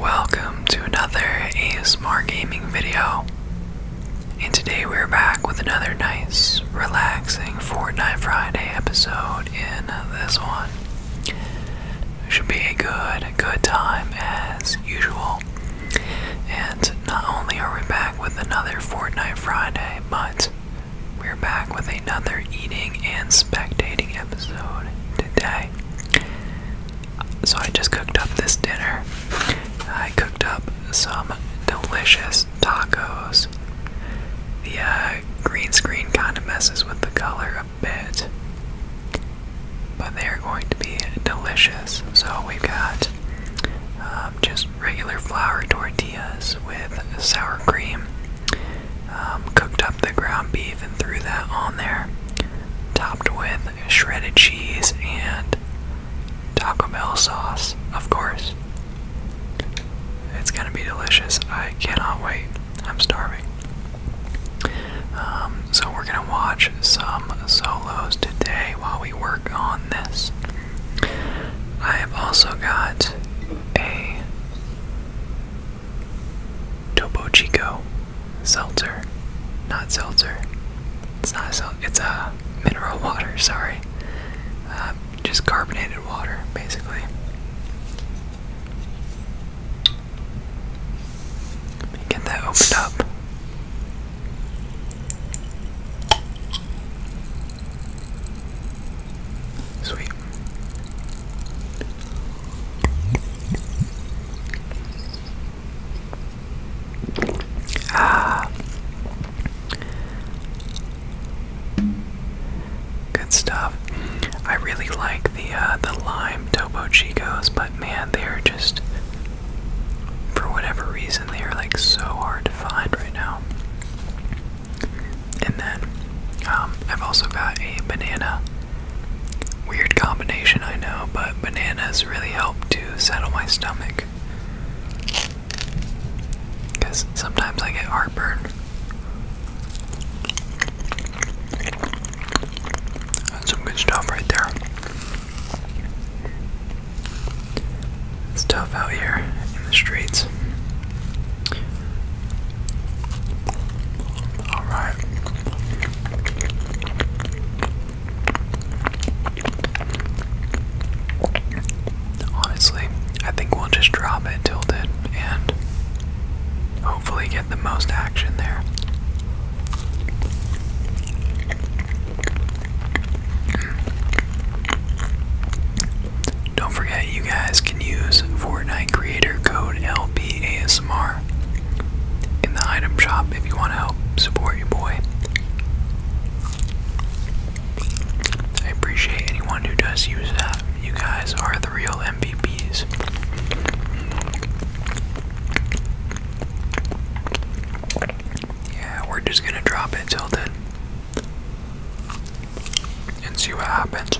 Welcome to another ASMR gaming video. And today we're back with another nice, relaxing Fortnite Friday episode in this one. Should be a good, good time as usual. And not only are we back with another Fortnite Friday, but we're back with another eating and spectating episode today. So, I just cooked up this dinner. I cooked up some delicious tacos. The uh, green screen kind of messes with the color a bit, but they are going to be delicious. So, we've got um, just regular flour tortillas with sour cream um, cooked up the ground beef and threw that on there, topped with shredded cheese and Taco Bell sauce, of course. It's gonna be delicious. I cannot wait. I'm starving. Um, so, we're gonna watch some solos today while we work on this. I have also got a Topo Chico, seltzer, not seltzer. It's not a seltzer. It's a mineral water. Sorry, uh, just carbonated water, basically. Let me get that opened up. Sweet. Ah. Good stuff. I really like the uh, the lime Topo Chicos, but man, they are just for whatever reason they are like so hard to find right now. And then um, I've also got a banana Weird combination, I know, but bananas really help to settle my stomach. Because sometimes I get heartburn. That's some good stuff right there. It's tough out here in the streets. All right. Honestly, I think we'll just drop it tilted and hopefully get the most action there. Don't forget that you guys can use Fortnite creator code LBASMR in the item shop if you want to help support your boy. I appreciate anyone who does use that. You guys are the real MVPs. Yeah, we're just gonna drop it till then and see what happens.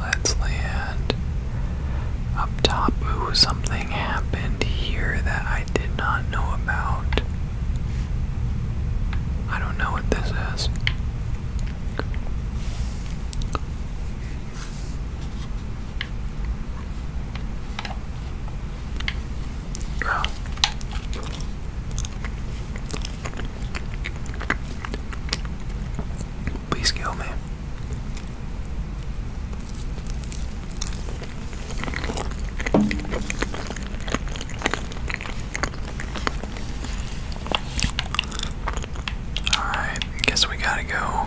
Let's land up top. something happened here that I did not know about. I don't know what this is. Please kill me. Alright, guess we gotta go.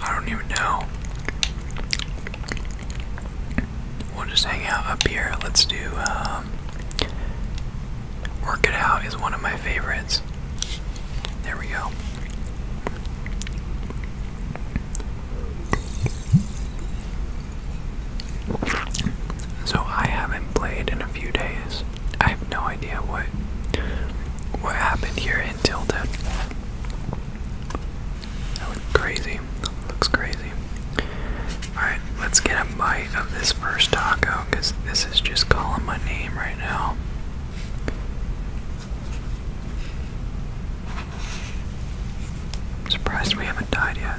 I don't even know. We'll just hang out up here. Let's do, um, Work It Out is one of my favorites. There we go. So I haven't played in a few days. I have no idea what what happened here in Tilted. That looked crazy. Looks crazy. Alright, let's get a bite of this first taco because this is just calling my name right now. surprised we haven't died yet.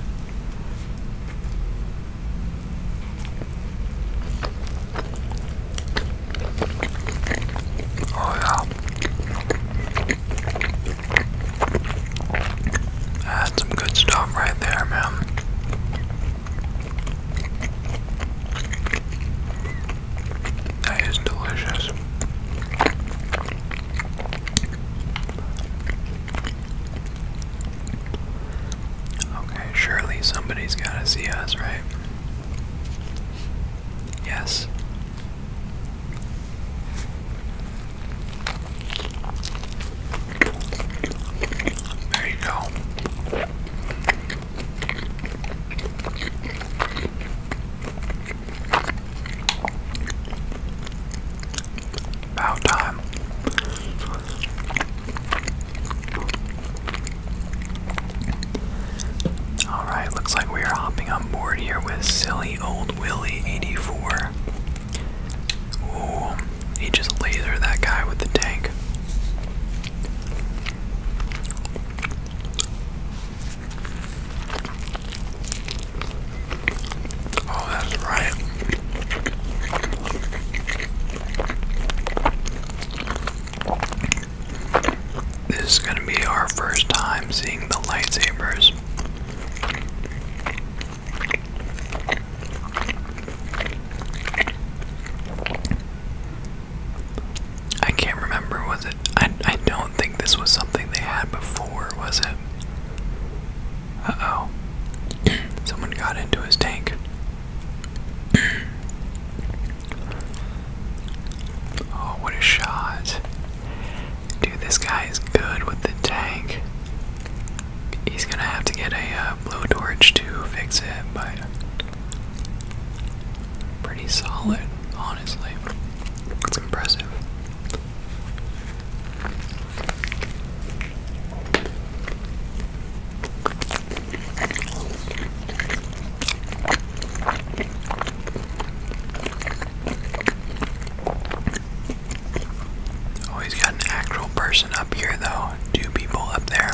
Oh yeah. That's some good stuff right there, man. That is delicious. Okay, surely somebody's gotta see us, right? Yes. There you go. About time. Alright, looks like we are hopping on board here with silly old Willie 84. Ooh, he just lasered that guy with the tank. Oh, that's right. This is going to be our first time seeing the lightsabers. I can't remember, was it? I, I don't think this was something they had before, was it? Uh oh. Someone got into his tank. oh, what a shot. Dude, this guy is good with the tank. He's gonna have to get a uh, blowtorch to fix it, but. Pretty solid, honestly. It's impressive. Oh, he's got an actual person up here, though. Two people up there.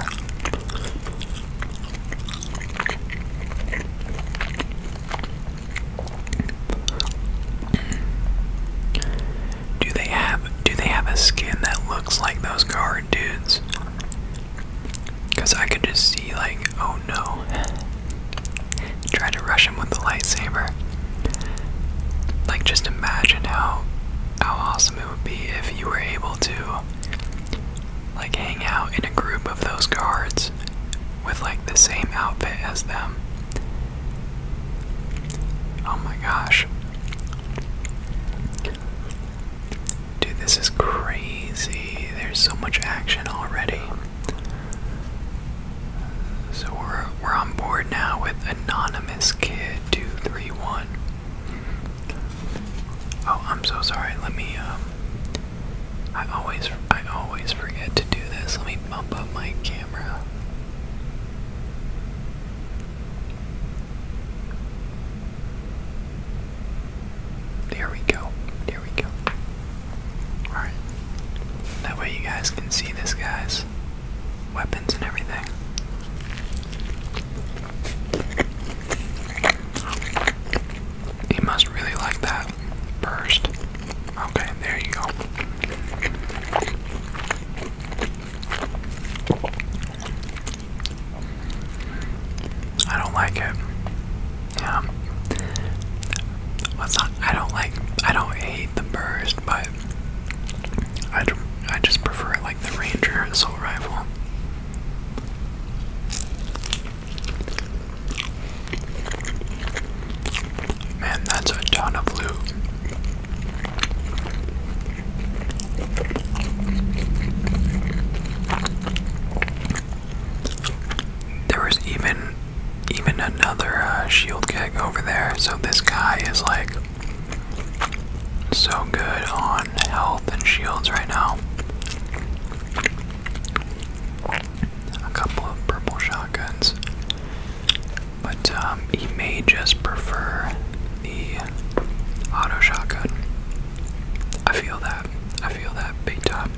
Do they have do they have a skin that looks like those guard dudes? Cause I could just see like, oh no. Try to rush him with the lightsaber. Like just imagine how how awesome it would be if you were able to like hang out in a group of those guards with like the same outfit as them Oh my gosh. Dude, this is crazy. There's so much action already. So we're we're on board now with anonymous kid 231. Oh, I'm so sorry. Let me um, I always I always forget to do this. Let me bump up my camera. There we go. There we go. Alright. That way you guys can see this guy's weapons and everything. He must really like that burst. Okay, there you go. I don't like it. Yeah. Well, not, I don't like, I don't hate the burst, but I, do, I just prefer like the Ranger and assault rifle. Man, that's a ton of loot. There was even even another uh, shield keg over there, so this guy is like so good on health and shields right now. A couple of purple shotguns. But um, he may just prefer the auto shotgun. I feel that. I feel that big time.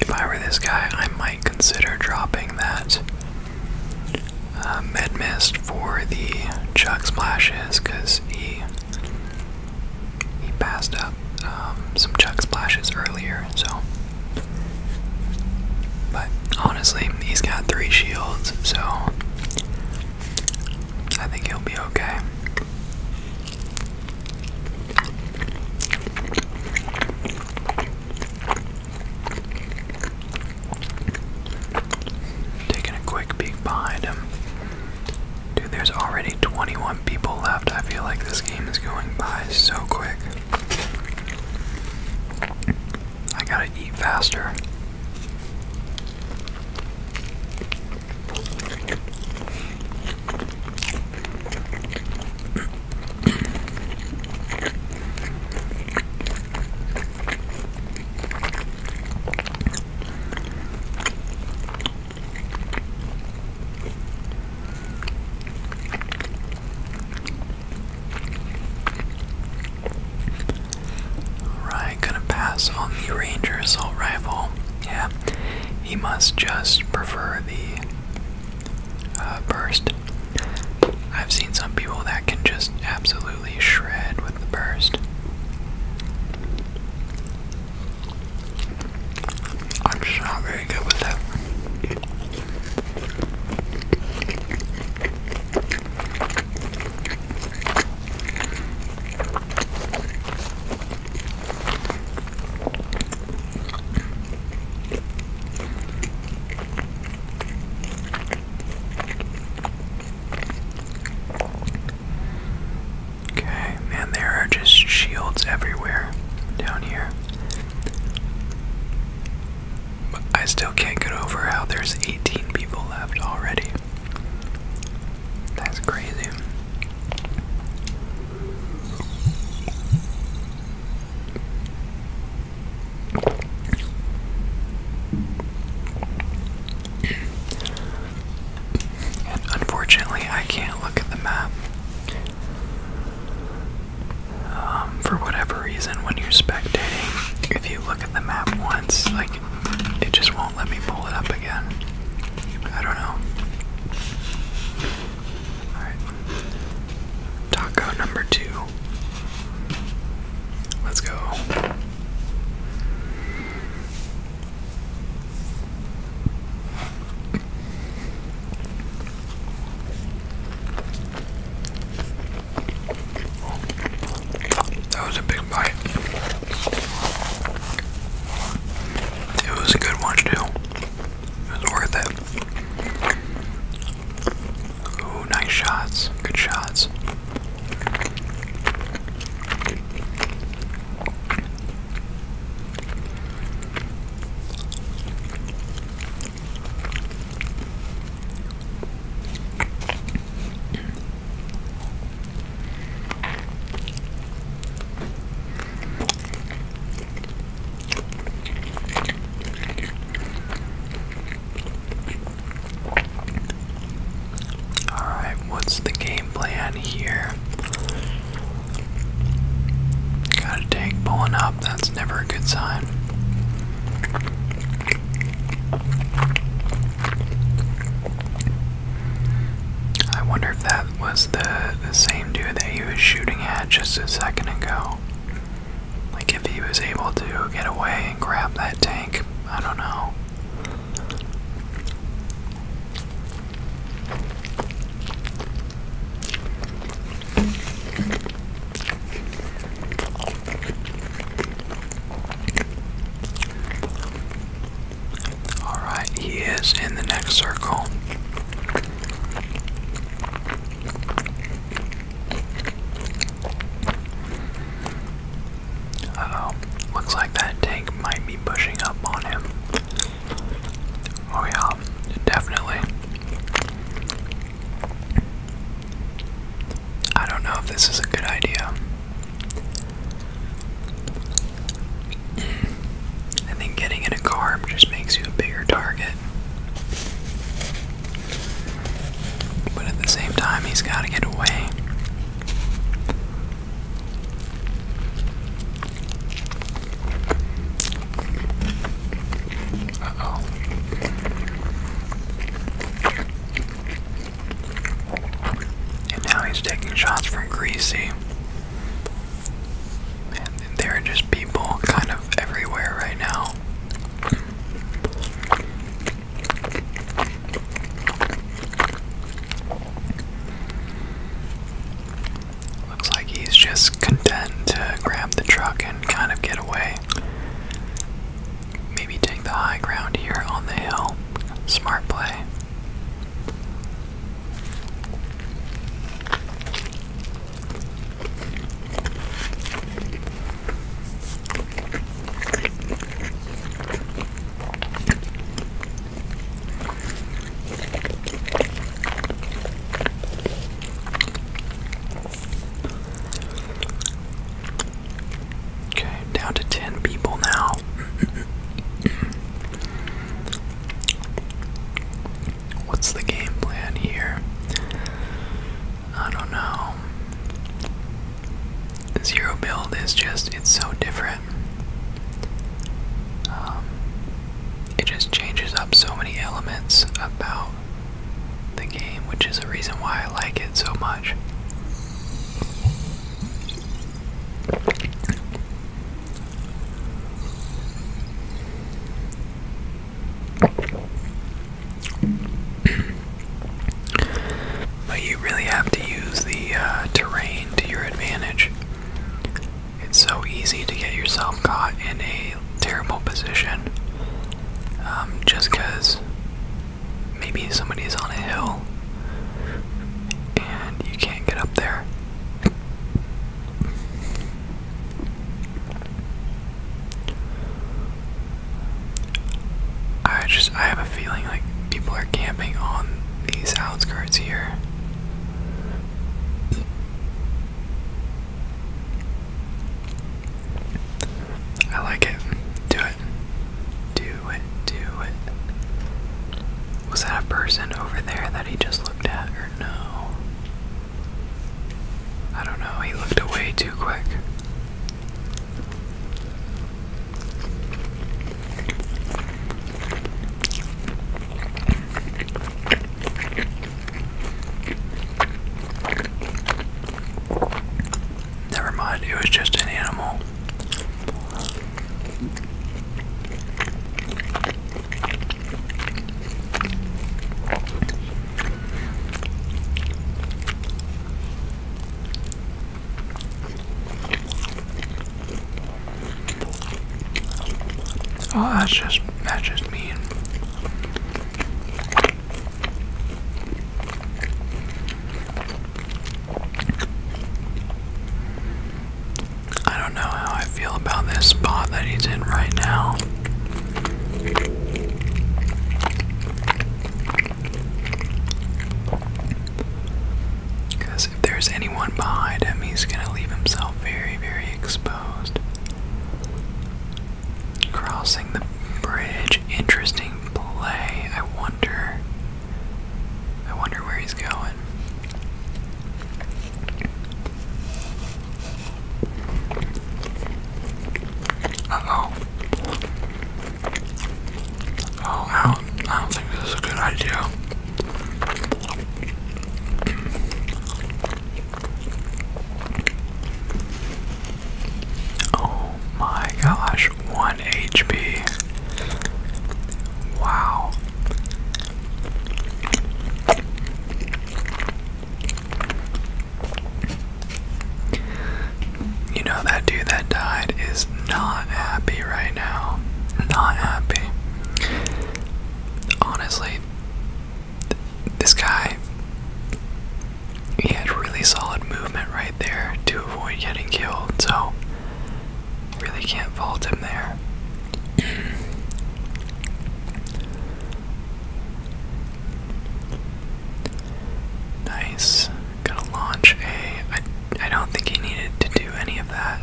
If I were this guy, I might consider dropping that uh, med mist for the chuck splashes because he he passed up um, some chuck splashes earlier. So, but honestly, he's got three shields, so I think he'll be okay. Taking a quick peek behind him. Dude, there's already 21 people left. I feel like this game is going by so quick. I gotta eat faster. Alright, gonna pass on the Ranger assault Yeah, he must just prefer the uh, burst. I've seen some people that can just absolutely shred with the burst. I'm just not very good with that. Okay, man, there are just shields everywhere down here. I still can't get over how there's 18 people left already. That's crazy. And unfortunately, I can't look at the map. Um, for whatever reason, when you're spectating, if you look at the map once, like it just won't let me pull it up again. I don't know. Alright. Taco number two. Let's go. That was a big bite. It was a good one too. It was worth it. Ooh, nice shots. Good shots. Alright, what's the game plan here? got a take pulling up, that's never a good sign. I wonder if that was the, the same dude that he was shooting at just a second ago. Like, if he was able to get away and grab that tank, I don't know. Alright, he is in the next circle. oh, looks like that tank might be pushing up on him. Oh, yeah, definitely. I don't know if this is a good idea. I think getting in a car just makes you a bigger target. But at the same time, he's got to get away. Uh oh. And now he's taking shots from Greasy. And there are just people kind of everywhere right now. Looks like he's just content to grab the truck and kind of get away. Maybe take the high ground here on the hill. Smart play. Okay, down to 10 people now. What's the game plan here? I don't know. Zero build is just, it's so different. Um, it just changes up so many elements about the game, which is a reason why I like it so much. But you really have to use the uh, terrain to your advantage. It's so easy to get yourself caught in a terrible position um, just because maybe somebody is on a hill and you can't get up there. I just I have a feeling like people are camping on these outskirts here. I like it. Do it. Do it. Do it. Was that a person over there that he just looked at, or no? I don't know, he looked away too quick. Never mind, it was just an animal. Oh, that's just that's just mean. I don't know how I feel about this spot that he's in right now. Because if there's anyone behind him, he's going to leave himself very, very exposed. Crossing the bridge, interesting play. I wonder I wonder where he's going. Uh oh. I don't, think this is a good idea. Oh my gosh, one HP. Wow. You know, that dude that died is not happy right now. Not happy. Honestly, this guy, he had really solid movement right there to avoid getting killed, so Really can't fault him there. nice. Gonna launch a. I, I don't think he needed to do any of that.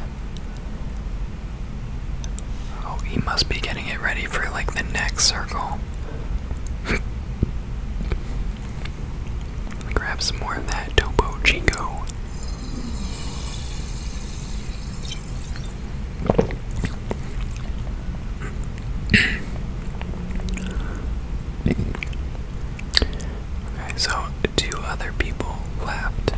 Oh, he must be getting it ready for like the next circle. Grab some more of that Topo Chico. Okay, so two other people left.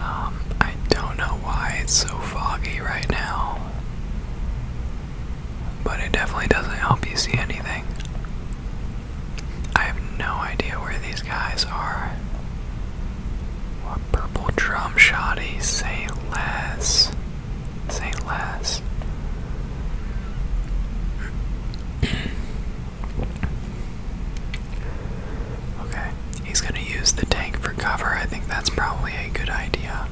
Um, I don't know why it's so foggy right now, but it definitely doesn't help you see anything. I have no idea where these guys are. What purple drum shoddy? Say less. Say less. okay, he's gonna use the tank for cover. I think that's probably a good idea.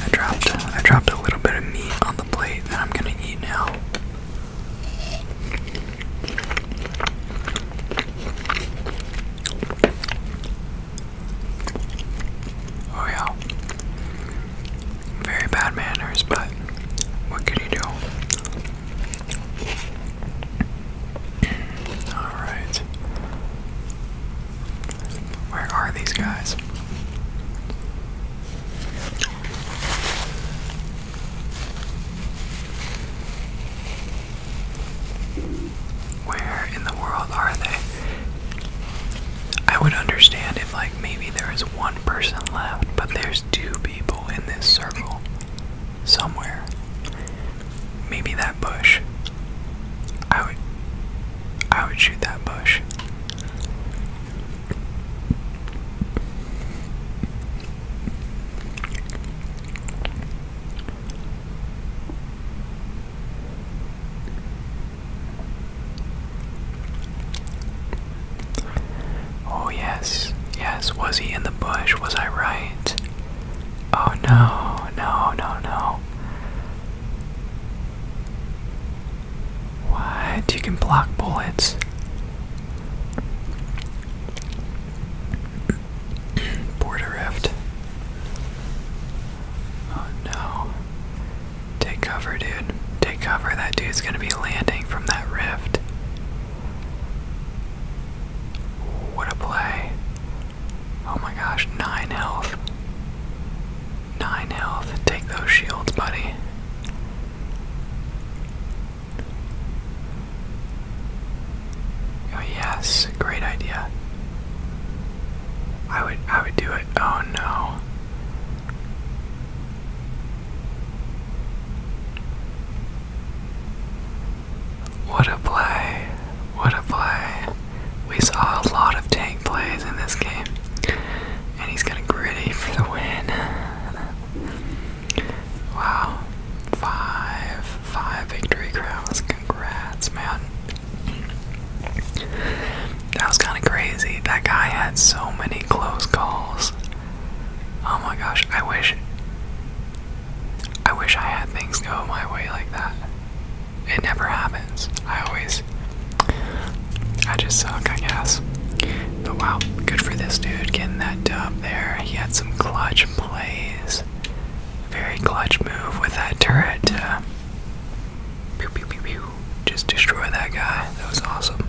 I dropped I dropped a little bit of meat on the plate that I'm gonna eat now. Oh yeah. Very bad manners, but what can you do? Alright. Where are these guys? Where in the world are they? I would understand if, like, maybe there is one person left, but there's two people in this circle somewhere. Maybe that bush I would I would shoot that bush. Oh, yes, yes, was he in the bush? Was I right? Oh, no, no, no, no. What? You can block bullets. Border rift. Oh no. Take cover, dude. Take cover. That dude's gonna be landing from that rift. What a play. Oh my gosh, nine health. Nine health. Take those shields, buddy. Oh, yes, great idea. I would I would do it. Oh no. What a play. What a play. We saw a lot of tank plays in this game. And he's gonna gritty for the win. Wow. Five five victory crowns. Congrats, man. That was kinda crazy. That guy had so many close calls. Oh my gosh, I wish I wish I had things go my way like that it never happens. I always, I just suck, I guess. But wow, good for this dude getting that dub there. He had some clutch plays. Very clutch move with that turret pew, pew, pew, pew, just destroy that guy. That was awesome.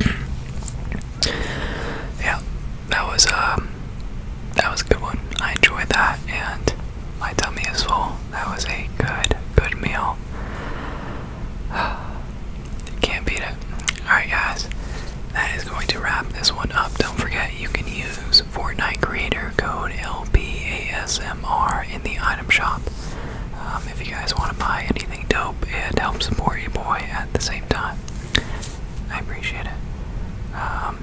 yeah, that was um, that was a good one. I enjoyed that, and my tummy is full. That was a good, good meal. Can't beat it. Alright, guys, that is going to wrap this one up. Don't forget you can use Fortnite Creator code LBASMR in the item shop. Um, if you guys want to buy anything dope, it helps support you, boy at the same time. I appreciate it. Um,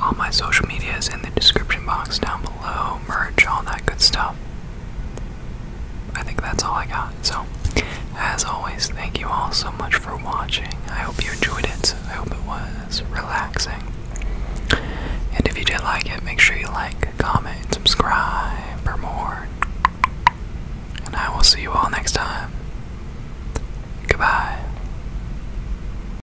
all my social media is in the description box down below. Merch, all that good stuff. I think that's all I got. So, as always, thank you all so much for watching. I hope you enjoyed it. I hope it was relaxing. And if you did like it, make sure you like, comment, subscribe for more. And I will see you all next time. Goodbye.